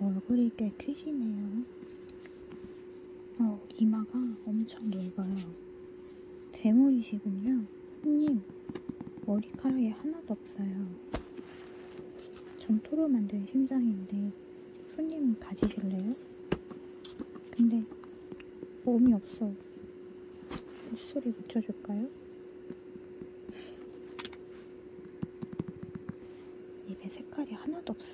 얼굴이 꽤 크시네요. 어, 이마가 엄청 넓어요. 대물이시군요. 손님, 머리카락이 하나도 없어요. 점토로 만든 심장인데 손님 가지실래요? 근데 몸이 없어. 목소리 붙여줄까요? 입에 색깔이 하나도 없어.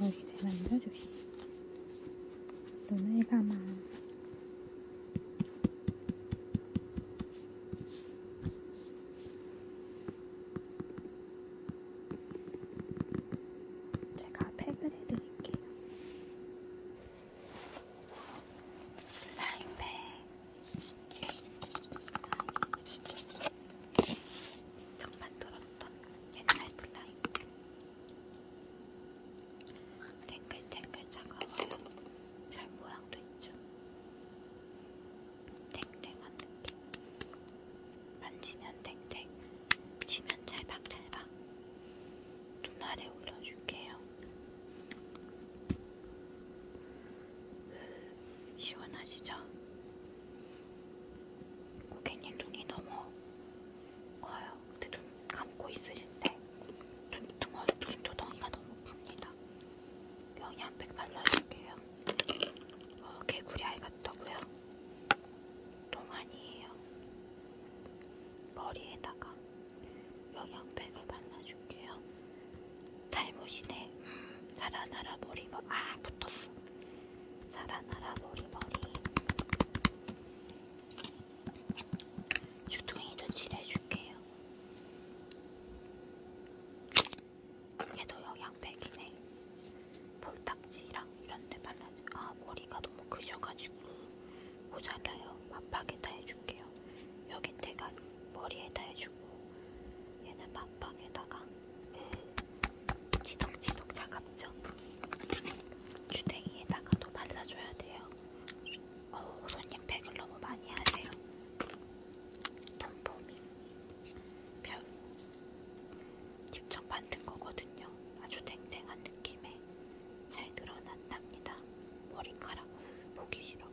여기를 만들어줍시. 눈을 감아. 제가 팩을 해드릴게요. 슬라임에 시청 만들었던 옛날 슬라임 탱글탱글 차가워요 별 모양도 있죠 탱탱한 느낌 만지면 탱탱 치면 찰박찰박 눈알에 올려줄게요. 시원하시죠? 고객님 눈이 너무 커요. 근데 눈 감고 있으신데 눈, 등어, 눈 조덩이가 너무 큽니다. 영양팩 발라줄게요. 어, 개구리 알 같다고요? 똥 아니에요. 머리에다가 영양팩을 발라줄게요. 탈모시네. 음, 자라나라 머리 머리. 아 붙었어. 자라나라 머리 머리. 주둥이도 칠해줄게요. 얘도 영양팩이네. 볼다 딱지랑 이런 데만 아 머리가 너무 크셔가지고 모자라요. 만박에다 해줄게요. 여긴 내가 머리에다 해주고 얘는 만박에다가 지덕지덕 차갑죠? 주댕이에다가 또 발라줘야 돼요. 어우 손님 팩을 너무 많이 하세요. 돈보미 별 직접 만든 거거든요. 아주 댕댕한 느낌. 힘에 잘 늘어났답니다. 머리카락 보기 싫어.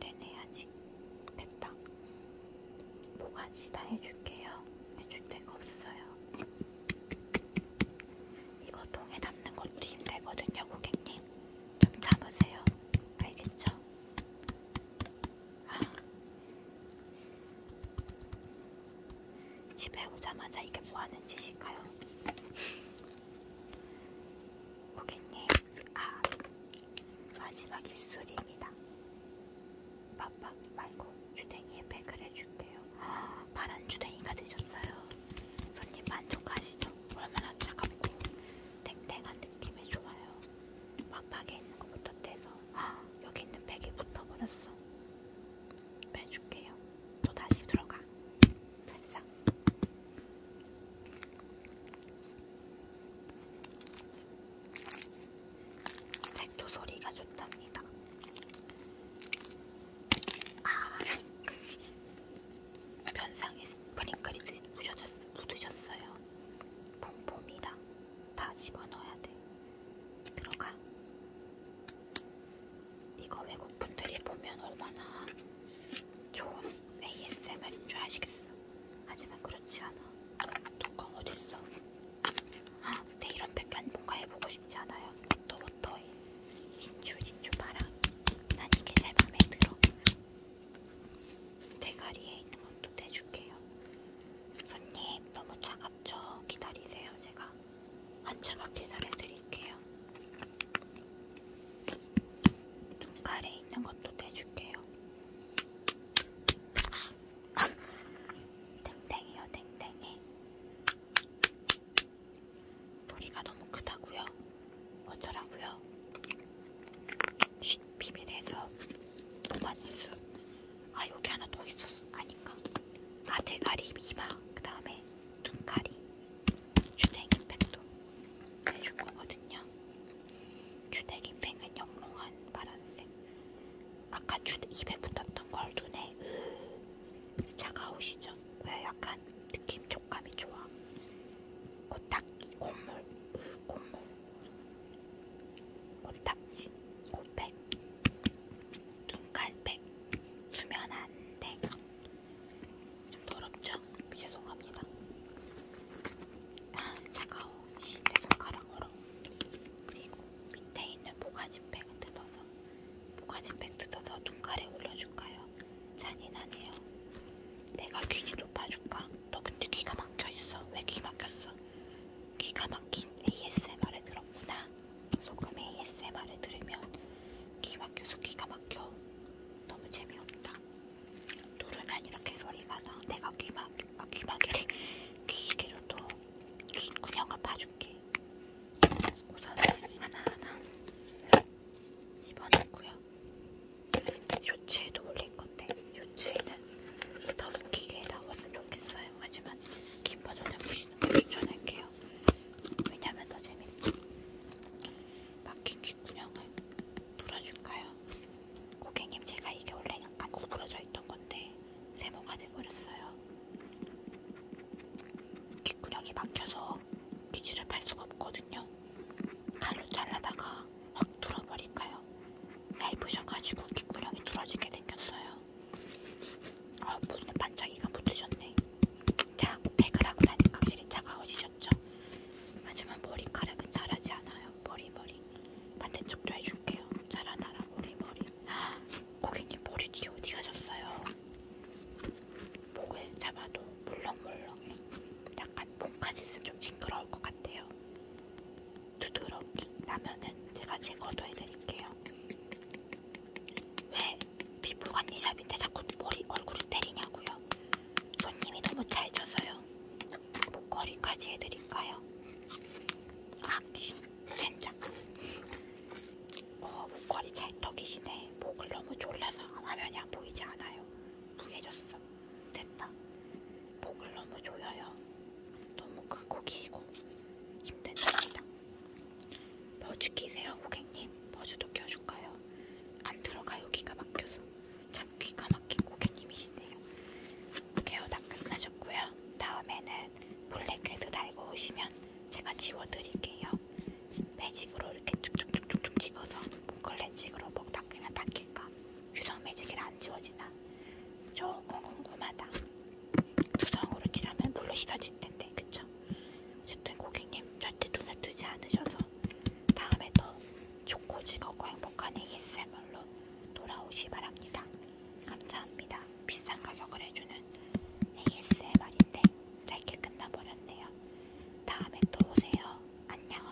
내내야지. 됐다. 모가지 다 해줄게요. 해줄 데가 없어요. 이거 통에 담는 것도 힘들거든요, 고객님. 좀 참으세요. 알겠죠? 아, 집에 오자마자 이게 뭐하는 짓일까요? 고객님, 아 마지막 입술입니다. 빡빡 말고 주댕이에 팩을 해줄게요. 아, 파란 주댕이가 되셨어요. 손님 만족하시죠? 얼마나 차갑고 탱탱한 느낌이 좋아요. 빡빡에 있는 것부터 떼서 아, 여기 있는 팩이 붙어버렸어. 빼줄게요. 또 다시 들어가. 됐어. 백도 소리가 좋답니다. 아, 변상에 스프링클이 묻으셨어요. 폼폼이랑 다 집어넣어야 돼. 들어가. 이거 외국 분들이 보면 얼마나 좋은 ASMR인 줄 아시겠어. 하지만 그렇지 않아. 독감 어딨어? 아, 근데 이런 백간 뭔가 해보고 싶지 않아요. 또 워터에 진주 진주 봐라. 난 이게 제 맘에 들어. 대가리에 있는 것도 떼줄게요. 손님 너무 차갑. 먼저 기다리세요. 제가 안 차갑게 잘해드릴게요. 눈가에 있는 것도 떼줄게요. 땡땡이요, 땡땡이. 소리가 너무 크다고요? 어쩌라고요? 쉿, 비밀에서 보관뉴스. 아 여기 하나 더 있었어 아니까 아 대가리 미마 그 다음에 눈가리 주댕이팩도 해줄 거거든요 주댕이팩은 영롱한 파란색 아까 주 입에 붙었던 걸 눈에 으 차가우시죠? 왜 약간 느낌 촉감이 좋아 곧딱 그 콧물 으 콧물 코딱지, 코팩, 눈깔팩, 수면 안대. 좀 더럽죠? 죄송합니다. 아, 차가워. 시대 손가락 으로 그리고 밑에 있는 모가지팩 뜯어서 모가지팩 뜯어서 눈깔에 올려줄까요? 잔인하네요. 내가 귀를 높아줄까? 너 근데 귀가 막혀있어. 왜 귀 막혔어? 기가 막힌 ASMR을 들었구나. 소금 ASMR을 들으면 귀 막혀서 귀가 막혀. 너무 재미없다. 누르면 이렇게 소리가 나. 내가 귀막, 아, 귀막이래. 귀개로도 귀 구멍을 봐줄게. 우선 하나하나 집어넣고요. 쇼츠에도 올릴 건데. 요트에는 더 웃기게 나왔으면 좋겠어요. 하지만 긴 버전을 보시는 걸 추천할게요. 왜냐면 더 재밌어. 막힌 귓구녕을 풀어줄까요? 고객님 제가 이게 원래 약간 구부러져 있던 건데 세모가 돼버렸어요. 귓구녕이 막혀서 귀지를 팔 수가 없거든요. 칼로 잘라다가 확 뚫어버릴까요? 밟으셔가지고 귓구녕이 뚫어지게 생겼어요. 아 무슨 반짝이가 붙으셨네. 자꾸 팩을 하고 나니까 확실히 차가워지셨죠? 하지만 머리카락은 자라지 않아요. 머리 머리 반대쪽도 해줄게요. 자라나라 머리 머리. 아, 고객님 머리 뒤 어디 가셨어요? 목을 잡아도 물렁물렁해. 약간 목까지 있으면 좀 징그러울 것 같아요. 두드러기 나면은 제가 제거도 해드릴게요. 왜 피부관리샵인데 자꾸 머리 얼굴을 때리냐고요? 손님이 너무 잘 져서요. 목걸이까지 해드릴까요? 아, 젠장. 어, 목걸이 찰떡이시네. 목을 너무 졸라서 화면이 안 보이지 않아요. 무해졌어. 됐다. 목을 너무 조여요. 너무 크고 길고 힘든 일이다. 버즈 끼세요, 고객님. 버즈도 껴줄까요? 안 들어가요, 귀가 막혀서. 참 귀가 막힌 고객님이시네요. 케어 다 끝나셨고요. 다음에는 블랙헤드 달고 오시면 제가 지워드릴게요. 매직으로 이렇게 쭉쭉쭉쭉 찍어서 목걸렌직으로 목 닦으면 닦일까? 유성 매직이 안 지워지나? 조금 궁금하다. 두성으로 칠하면 물로 씻어질 텐데, 그쵸? 어쨌든 고객님 절대 눈을 뜨지 않으셔서 다음에 더 좋고 즐겁고 행복한 ASMR로 돌아오시 바랍니다. 감사합니다. 비싼 가격을 해주는 ASMR인데 짧게 끝나버렸네요. 다음에 또 오세요. 안녕.